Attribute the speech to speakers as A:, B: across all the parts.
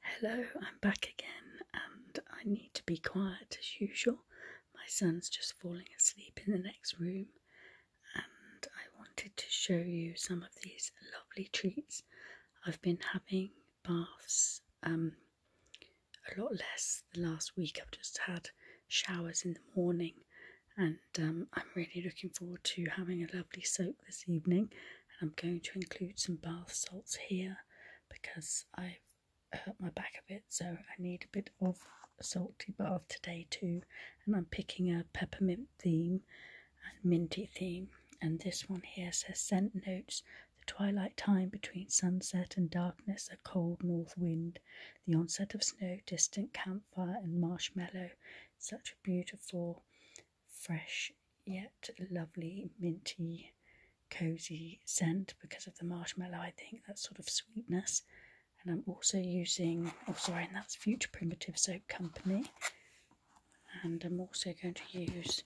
A: Hello, I'm back again, and I need to be quiet as usual. My son's just falling asleep in the next room, and I wanted to show you some of these lovely treats. I've been having baths um, a lot less the last week. I've just had showers in the morning, and um, I'm really looking forward to having a lovely soak this evening, and I'm going to include some bath salts here because I've hurt my back a bit, so I need a bit of a salty bath today too. And I'm picking a peppermint theme and minty theme, and this one here says scent notes. The twilight time between sunset and darkness, a cold north wind, the onset of snow, distant campfire, and marshmallow, beautiful, fresh, yet lovely, minty, cozy scent because of the marshmallow. I think that sort of sweetness. And I'm also using, oh, sorry, and that's Future Primitive Soap Company. And I'm also going to use,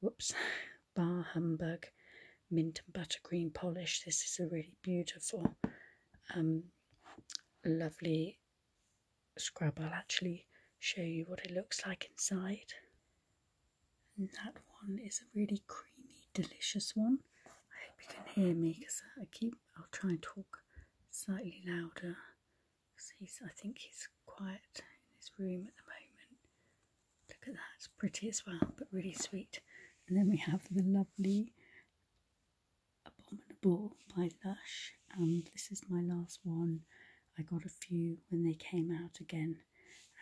A: whoops, Bar Humbug Mint and Buttercream Polish. This is a really beautiful, um, lovely scrub, I'll actually show you what it looks like inside. that one is a really creamy, delicious one. I hope you can hear me because I keep, I'll try and talk slightly louder because he's, I think he's quiet in his room at the moment. Look at that, it's pretty as well, but really sweet. And then we have the lovely Abominable by Lush, and this is my last one. I got a few when they came out again,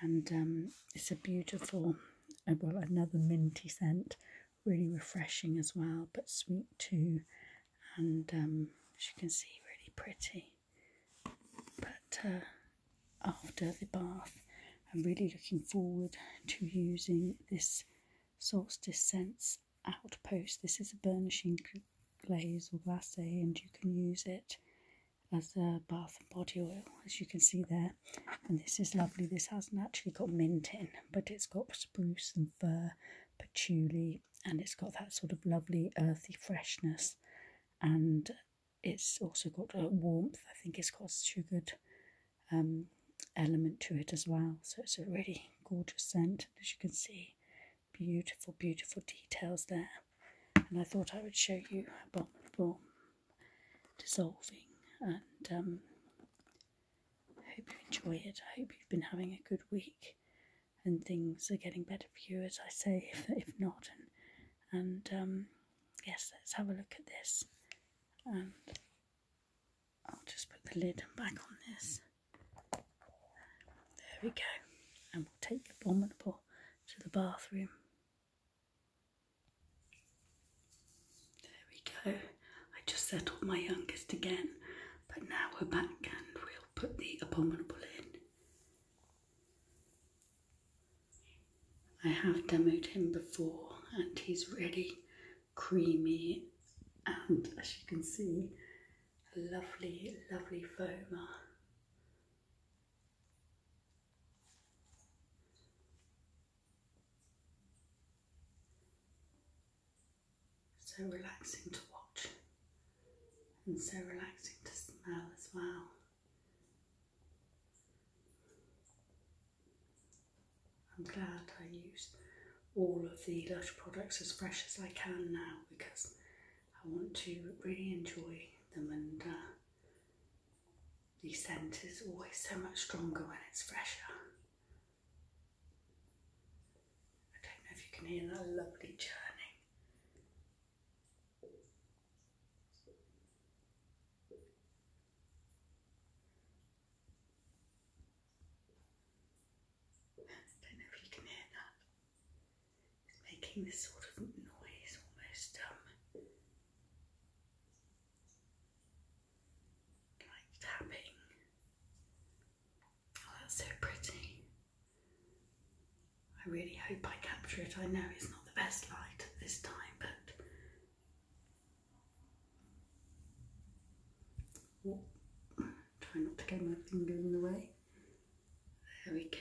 A: and um, it's a beautiful, uh, well, another minty scent, really refreshing as well, but sweet too. And um, as you can see, really pretty. But uh, after the bath, I'm really looking forward to using this Solstice Scents Outpost. This is a burnishing glaze or glacé, and you can use it as a bath and body oil, as you can see there. And this is lovely. This hasn't actually got mint in, but it's got spruce and fir, patchouli, and it's got that sort of lovely earthy freshness. And it's also got a warmth. I think it's got sugared um, element to it as well. So it's a really gorgeous scent, as you can see, beautiful, beautiful details there. And I thought I would show you a Abominable dissolving, and um, hope you enjoy it. I hope you've been having a good week, and things are getting better for you, as I say. If if not, and and um, yes, let's have a look at this and I'll just put the lid back on this. There we go. And we'll take the abominable to the bathroom. There we go. I just settled my youngest again, but now we're back and we'll put the abominable in. I have demoed him before and he's really creamy and as you can see a lovely lovely foamer. So relaxing to watch and so relaxing to smell as well. I'm glad I use all of the Lush products as fresh as I can now because I want to really enjoy them and uh, the scent is always so much stronger when it's fresher. I don't know if you can hear that lovely churning don't know if you can hear that. It's making this sort of noise almost um like tapping. Oh that's so pretty. I really hope I capture it. I know it's not the best light at this time, but oh, try not to get my finger in the way. There we go.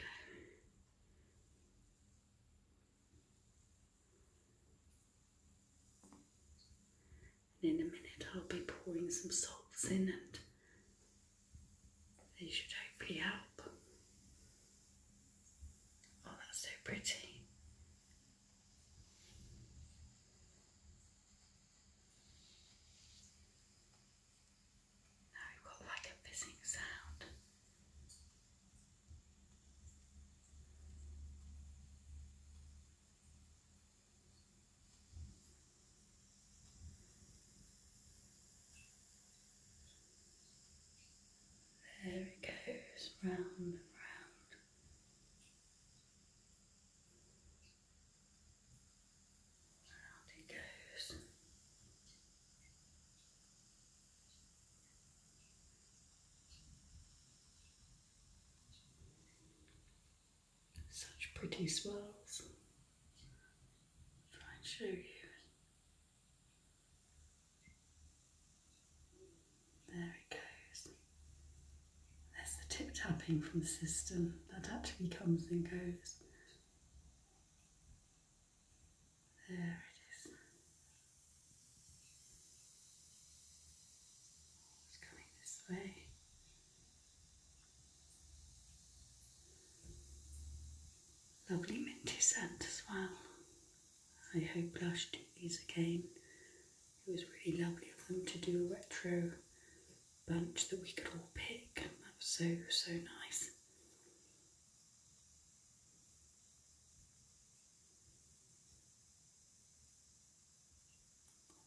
A: And in a minute, I'll be pouring some salts in and they should hopefully help. Oh, that's so pretty. Now we've got like a fizzing sound. There it goes round and round. Round it goes such pretty swirls. Try and show you. There it goes. There's the tip tapping from the system that actually comes and goes. There it is. It's coming this way. Lovely minty scent as well. I hope Blush do these again. It was really lovely of them to do a retro bunch that we could all pick. That was so, so nice.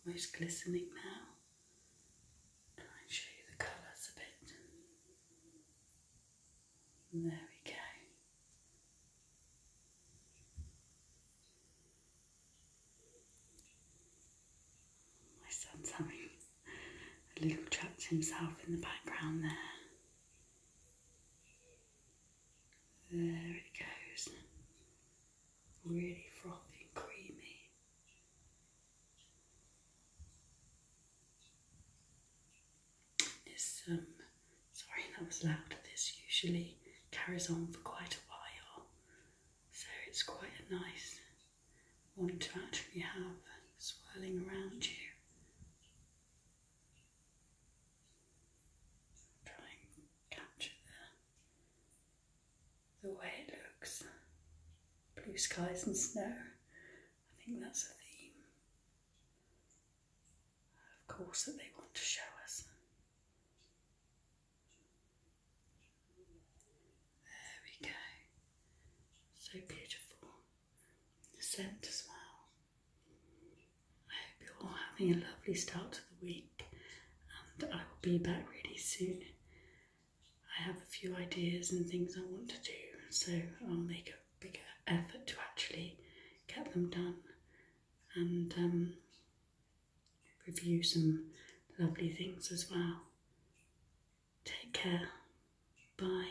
A: Almost glistening now. Try and show you the colours a bit. There we go. My son's having a little chat to himself in the background there. There it goes really frothy and creamy. This, um, sorry that was loud, this usually carries on for quite a while, so it's quite a nice one to actually have swirling around you. Try and capture the the way it looks. Blue skies and snow. I think that's a theme, of course, that they want to show us. There we go. So beautiful. The scent as well. I hope you're all having a lovely start to the week, and I will be back really soon. I have a few ideas and things I want to do, so I'll make a bigger effort to actually get them done and um, review some lovely things as well. Take care. Bye.